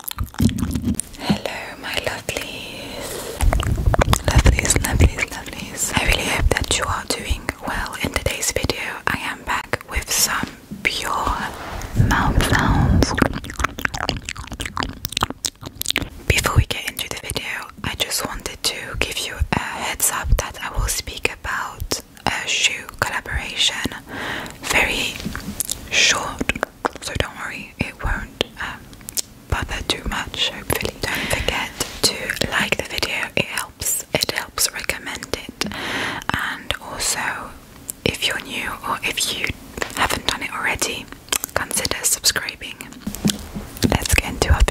Hello, my lovelies. Lovelies, lovelies, lovelies. I really hope that you are doing well in today's video. I am back with some pure mouth sounds. Before we get into the video, I just wanted to give you a heads up that I will speak about a shoe collaboration very short so don't worry, it won't um, bother too much. Hopefully, don't forget to like the video. It helps. It helps recommend it, and also if you're new or if you haven't done it already, consider subscribing. Let's get into our video.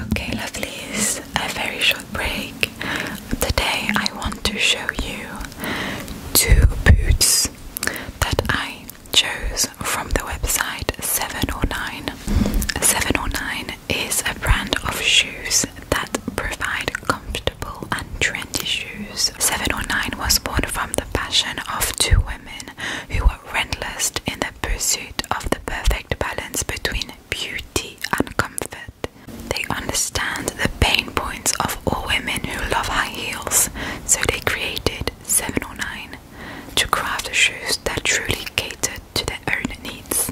Okay, lovely. lovelies, a very short break. Today, I want to show you two boots that I chose from the website 709. 709 is a brand of shoes that provide comfortable and trendy shoes. 709 was born from the passion of two women who were relentless in the pursuit of the perfect balance between beauty and comfort. They understand the pain points of all women who love high heels, so they created seven or nine to craft shoes that truly cater to their own needs.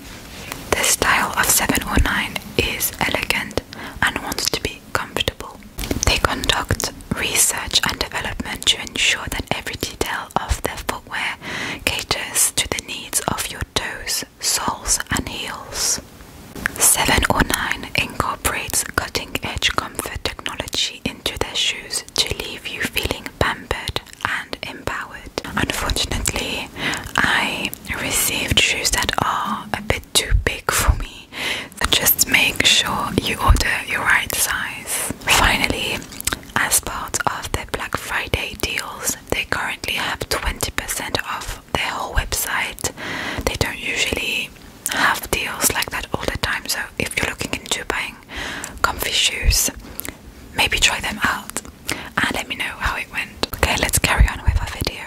The style of 709 is elegant and wants to be comfortable. They conduct research and development to ensure that every detail of their footwear caters to the needs of your toes, soles, and heels. 709 incorporates cutting edge comfort technology into their shoes to leave you feeling pampered and empowered. Unfortunately, I received shoes that are a bit too big for me, so just make sure you order your right size. Finally, as part of their Black Friday deals, they currently have 20% off their whole website. They don't usually have deals like that all the time. So if you're looking into buying comfy shoes, maybe try them out and let me know how it went. Okay, let's carry on with our video.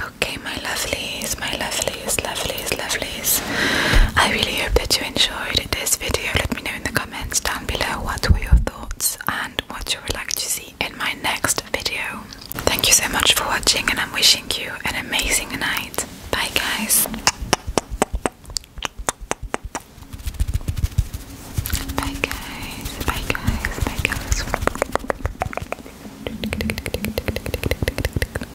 Okay, my lovelies, my lovelies lovelies, lovelies, lovelies. I really hope that you enjoyed this video. Let me know in the comments down below what were your thoughts and what you would like to see in my next video. Thank you so much for watching, and I'm wishing you an amazing night. Bye, guys. Bye, guys. Bye, guys. Bye, guys.